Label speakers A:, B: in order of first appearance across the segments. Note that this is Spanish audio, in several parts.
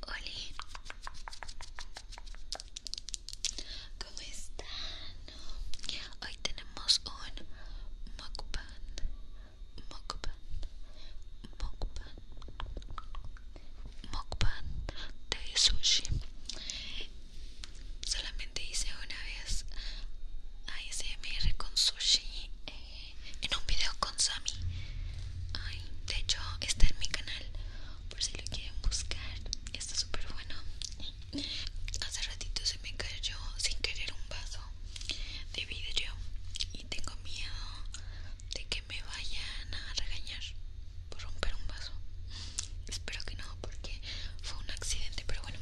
A: hola ¿cómo están? Hoy tenemos un mukbang, mukbang, mukbang, mukbang de sushi. Solamente hice una vez ASMR con sushi. Eh, en un video con Sammy de hecho está en mi canal por si lo quieren buscar está súper bueno hace ratito se me cayó sin querer un vaso de vidrio y tengo miedo de que me vayan a regañar por romper un vaso espero que no porque fue un accidente pero bueno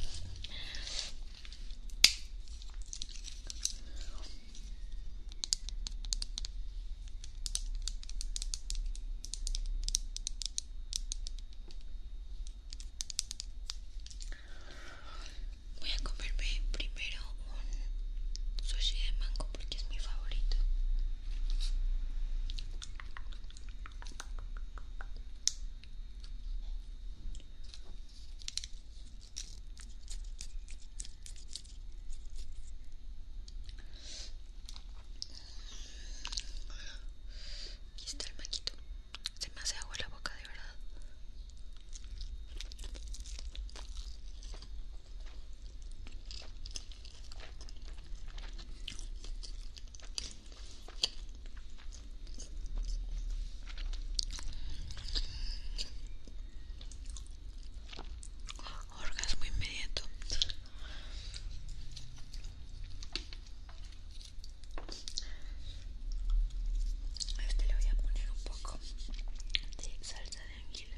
A: Voy a comerme primero un sushi de mango porque es mi favorito. Aquí está el maquito. Se me hace agua la boca, de verdad. Orgasmo inmediato. A este le voy a poner un poco de salsa de anguila.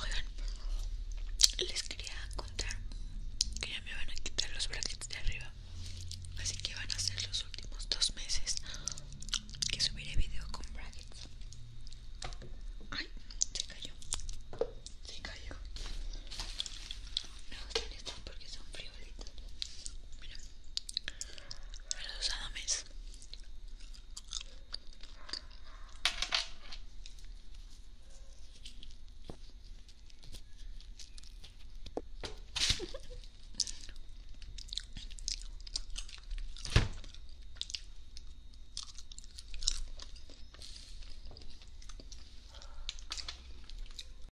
A: Oigan, les quería contar que ya me van a quitar los brackets de arriba. Así que van a ser los últimos dos meses que subiré video con brackets. Ay, se cayó. Se cayó. No, están porque son fríos los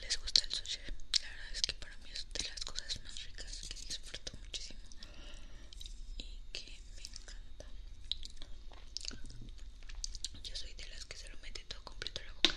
A: les gusta el sushi la verdad es que para mí es de las cosas más ricas que disfruto muchísimo y que me encanta. Yo soy de las que se lo mete todo completo a la boca.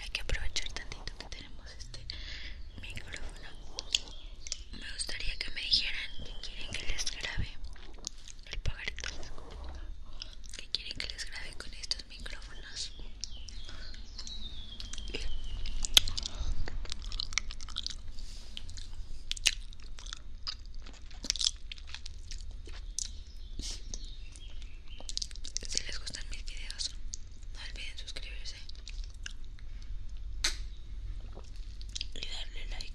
A: Hay que aprovechar tantito que tenemos este micrófono. Me gustaría que me dijeran que quieren que les grabe el pajarito. Que quieren que les grabe con estos micrófonos si les gustan mis videos no olviden suscribirse y darle like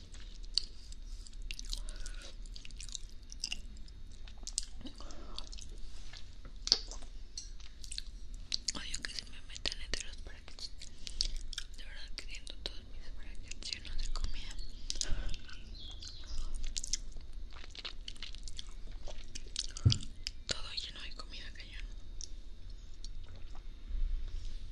A: Odio que se me metan entre los brackets. De verdad que siento todos mis brackets llenos de comida. Todo lleno de comida cañón.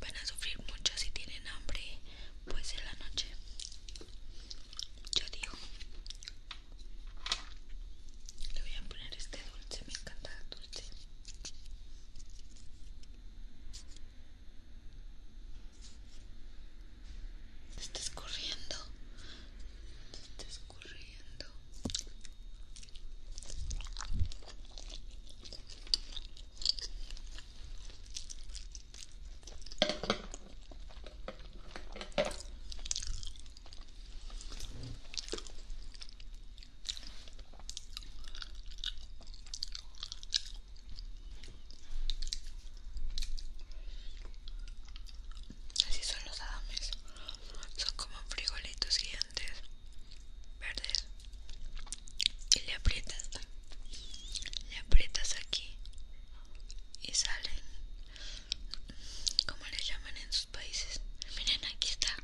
A: Van a sufrir mucho si tienen hambre, pues en la noche. Yo digo. Le voy a poner este dulce, me encanta el dulce. se está escurriendo. se está escurriendo. Así son los adames. Son como frijolitos gigantes verdes. Y le aprietas. Le aprietas aquí. Y salen Cómo le llaman en sus países. Miren, aquí está.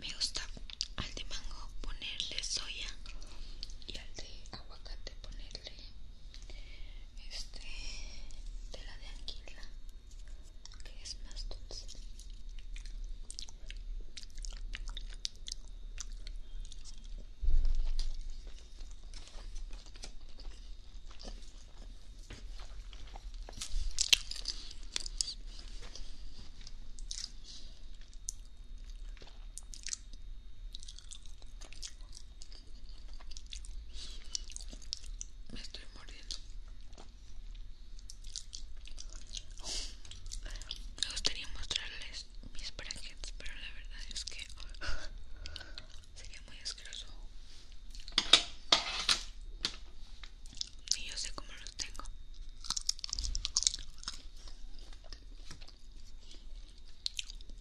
A: Me gusta al de mango ponerle soya y al de aguacate ponerle este de la de anguila que es más dulce me estoy mordiendo Me gustaría mostrarles mis brackets, pero la verdad es que sería muy asqueroso. Y yo sé cómo los tengo.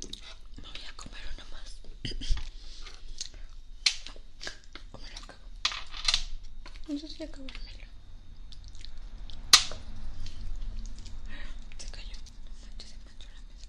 A: Me voy a comer uno más. O me lo No sé si acabármelo. Se cayó. No se manchó la mesa.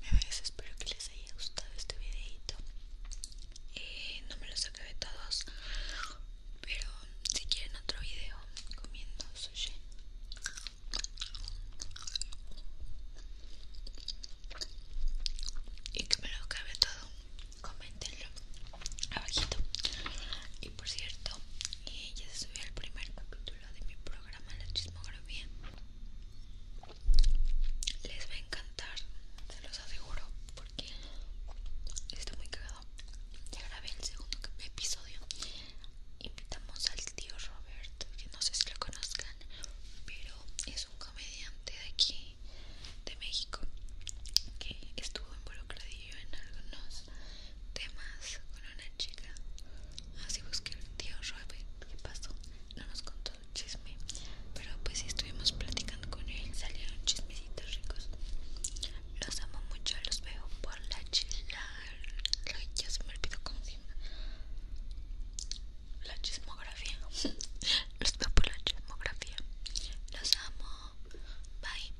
A: me ves espero que les haya gustado este videito eh, no me los acabé todos pero si quieren otro video comiendo sushi y que me lo acabe todo coméntenlo abajito y por cierto eh, ya se subió el primer capítulo de mi programa La Chismografía. Les va a encantar, se los aseguro, porque está muy cagado. Ya grabé el segundo episodio. Invitamos al tío Robert, que no sé si lo conozcan, pero es un comediante de aquí, de México, que estuvo involucrado en algunos temas con una chica. Así busqué el tío Robbie qué pasó. No nos contó el chisme, pero pues si estuvimos platicando con él. Salieron chismecitos ricos. Los amo mucho, los veo por la chisla Ya se me olvidó cómo se La chismografía. los veo por la chismografía. Los amo. Bye.